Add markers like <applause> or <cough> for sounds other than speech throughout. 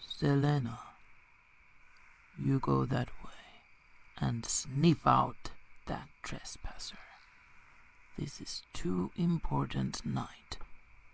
Selena, you go that way and sniff out that trespasser. This is too important night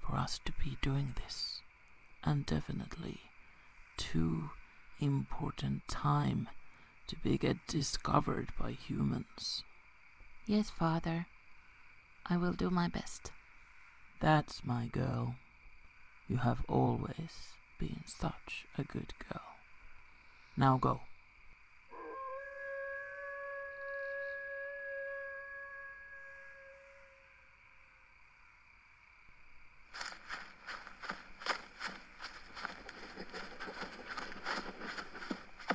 for us to be doing this and definitely too important time to be get discovered by humans. Yes, father. I will do my best. That's my girl. You have always been such a good girl. Now go.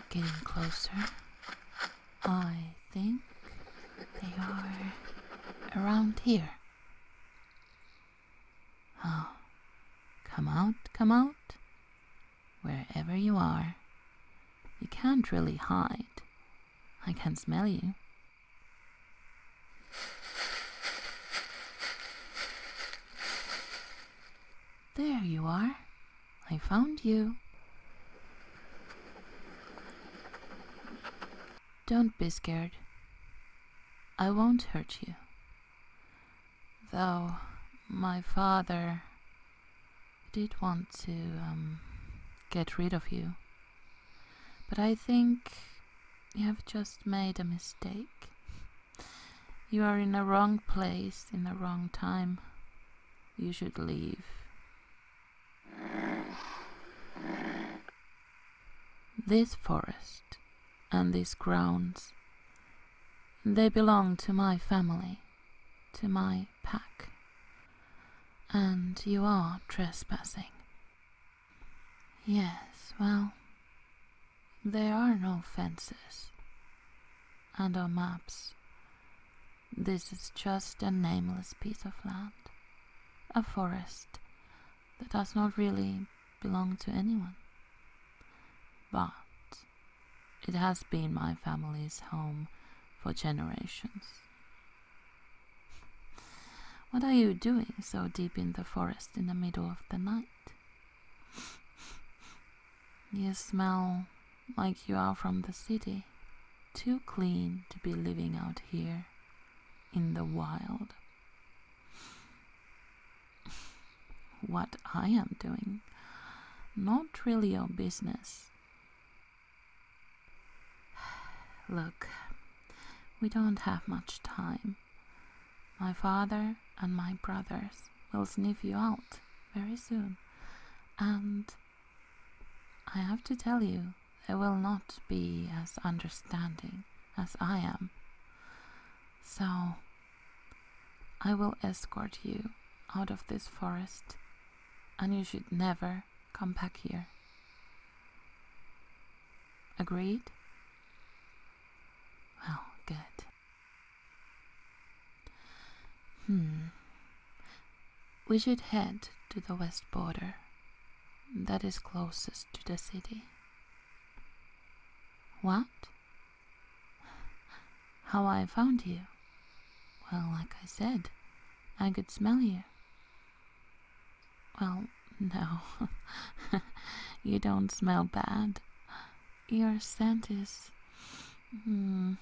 Getting closer. I think they are around here. Oh, come out, come out. Wherever you are, you can't really hide. I can smell you. There you are. I found you. Don't be scared. I won't hurt you. Though my father did want to um, get rid of you. But I think you have just made a mistake. You are in the wrong place in the wrong time. You should leave. This forest and these grounds, they belong to my family, to my pack. And you are trespassing. Yes, well, there are no fences. And no maps, this is just a nameless piece of land. A forest that does not really belong to anyone. But it has been my family's home for generations. What are you doing so deep in the forest in the middle of the night? You smell like you are from the city, too clean to be living out here in the wild. What I am doing, not really your business. <sighs> Look, we don't have much time. My father and my brothers will sniff you out very soon, and I have to tell you, they will not be as understanding as I am. So, I will escort you out of this forest, and you should never Come back here. Agreed? Well, good. Hmm. We should head to the west border. That is closest to the city. What? How I found you? Well, like I said, I could smell you. Well, no. <laughs> you don't smell bad. Your scent is. Hmm.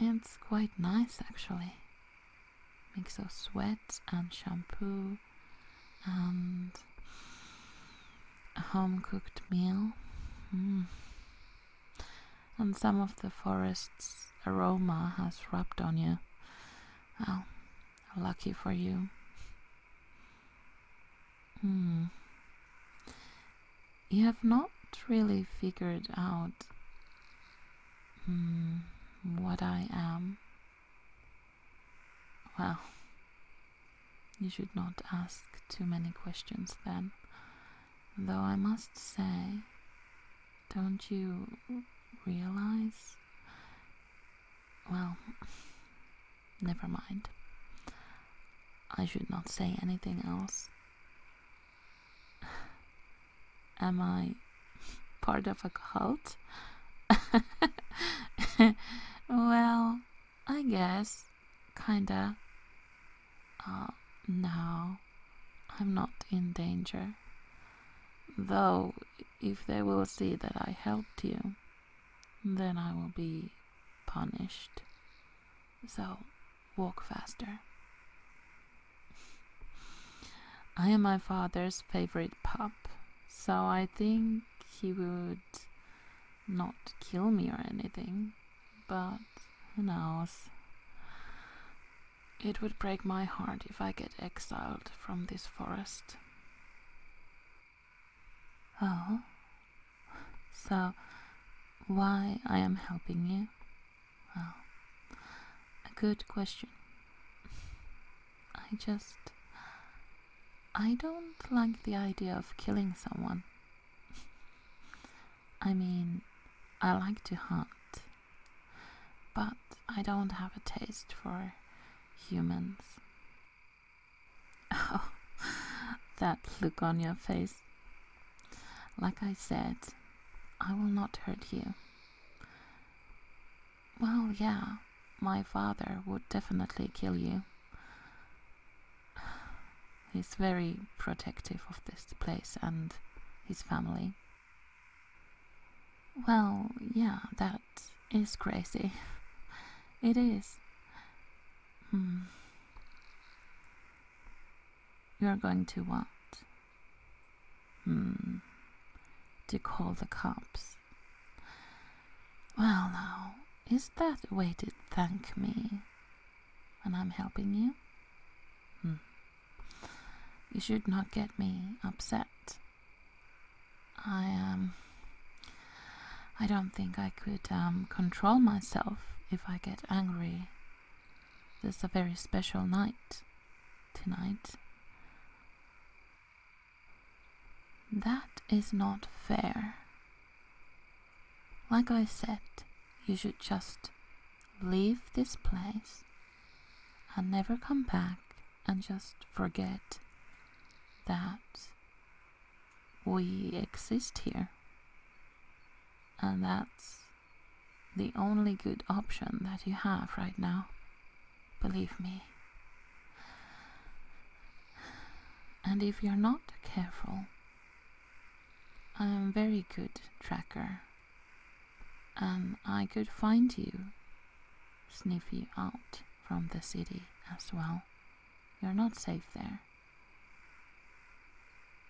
It's quite nice actually. Mix of sweat and shampoo and a home cooked meal. Mm and some of the forest's aroma has rubbed on you. Well, lucky for you. Hmm. You have not really figured out hmm, what I am. Well, you should not ask too many questions then, though I must say don't you realize? Well, <laughs> never mind. I should not say anything else. <sighs> Am I <laughs> part of a cult? <laughs> well, I guess. Kinda. Uh, no. I'm not in danger. Though, if they will see that I helped you, then I will be punished. So, walk faster. I am my father's favorite pup, so I think he would not kill me or anything, but who knows? It would break my heart if I get exiled from this forest. Oh, so why I am helping you? Well, a good question. I just. I don't like the idea of killing someone. I mean, I like to hunt but I don't have a taste for humans. <laughs> Oh, that look on your face. Like I said, I will not hurt you. Well, yeah, my father would definitely kill you. <sighs> He's very protective of this place and his family. Well, yeah, that is crazy. It is. Hmm. You're going to want hmm. To call the cops. Well, now, is that the way to thank me when I'm helping you? Hmm. You should not get me upset. I um I don't think I could um, control myself if I get angry. This is a very special night tonight. That is not fair. Like I said, you should just leave this place and never come back and just forget that we exist here. And that's the only good option that you have right now. Believe me. And if you're not careful, I am a very good tracker um, I could find you, sniff you out from the city as well. You're not safe there.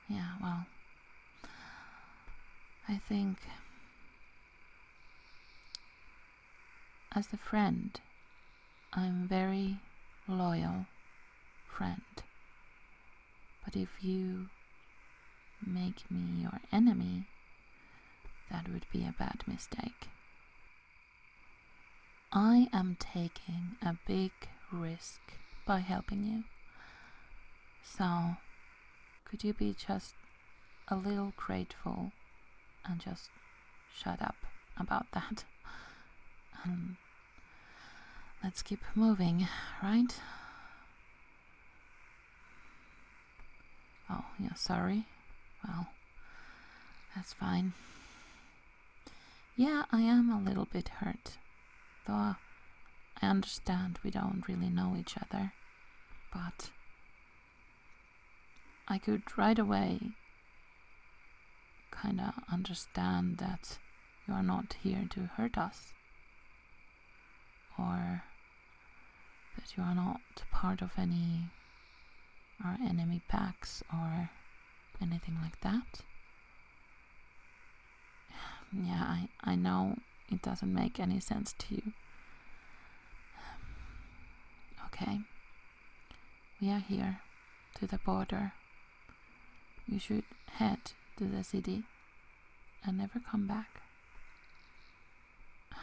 Yeah, well, I think as a friend, I'm very loyal friend but if you make me your enemy, that would be a bad mistake. I am taking a big risk by helping you. So, could you be just a little grateful and just shut up about that? Let's keep moving, right? Oh, yeah, sorry. Well, that's fine. Yeah, I am a little bit hurt. Though I understand we don't really know each other. But I could right away kinda understand that you are not here to hurt us or that you are not part of any our enemy packs or anything like that. Yeah, I, I know it doesn't make any sense to you. Okay, we are here to the border you should head to the city and never come back. <sighs>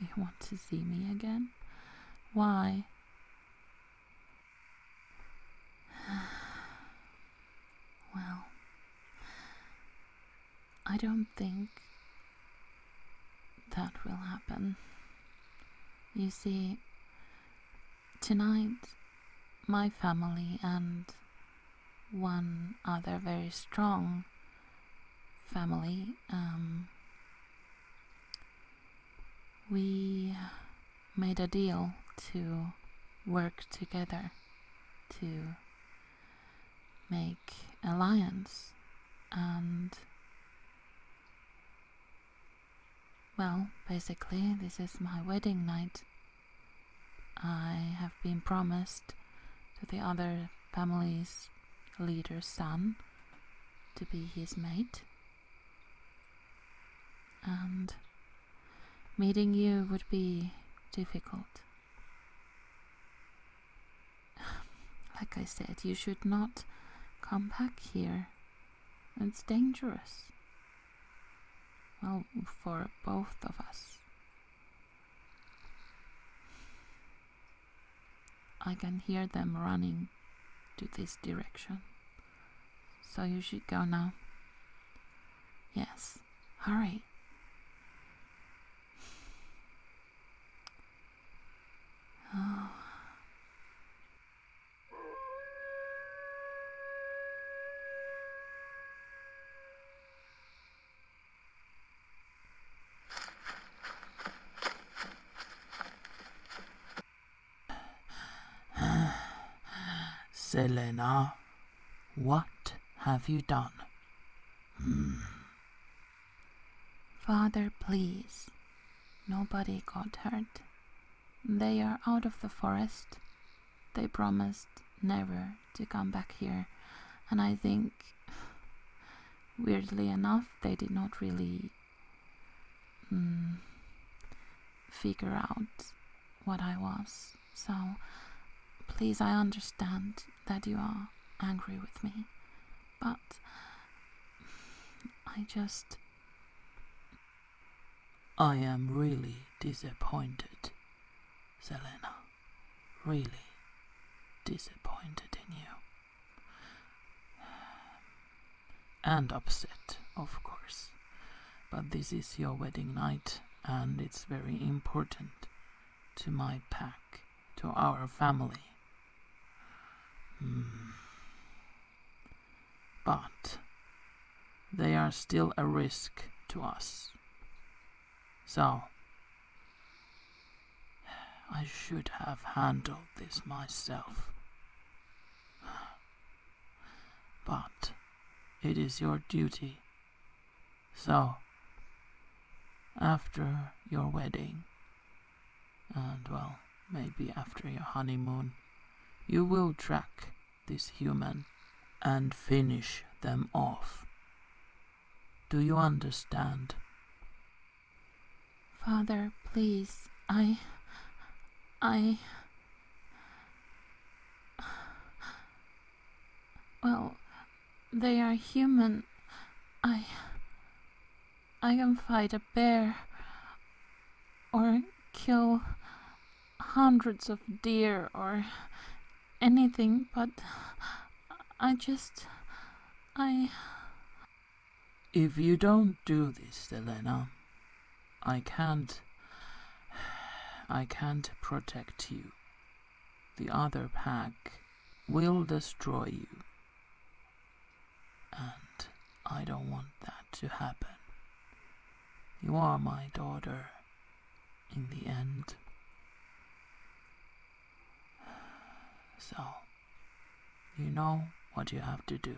You want to see me again? Why? <sighs> Well, I don't think that will happen. You see, Tonight, my family and one other very strong family, um, we made a deal to work together to make alliance and well, basically, this is my wedding night. I have been promised to the other family's leader's son to be his mate. And meeting you would be difficult. <sighs> Like I said, you should not come back here. It's dangerous. Well, for both of us. I can hear them running to this direction. So you should go now. Yes, hurry. Oh. <sighs> <sighs> Selena, what have you done? Hmm. Father, please. Nobody got hurt. They are out of the forest. They promised never to come back here, and I think, weirdly enough, they did not really mm, figure out what I was. So, please, I understand that you are angry with me, but I just. I am really disappointed, Selena. Really disappointed in you. And upset, of course. But this is your wedding night, and it's very important to my pack, to our family. Hmm but they are still a risk to us. So, I should have handled this myself. But it is your duty. So, after your wedding, and well, maybe after your honeymoon, you will track this human and finish them off. Do you understand? Father, please, I. I. Well, they are human. I. I can fight a bear or kill hundreds of deer or anything, but I just. I. If you don't do this, Elena, I can't. I can't protect you. The other pack will destroy you. And I don't want that to happen. You are my daughter in the end. So, you know what you have to do.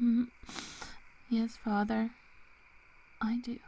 Mm-hmm. Yes, Father, I do.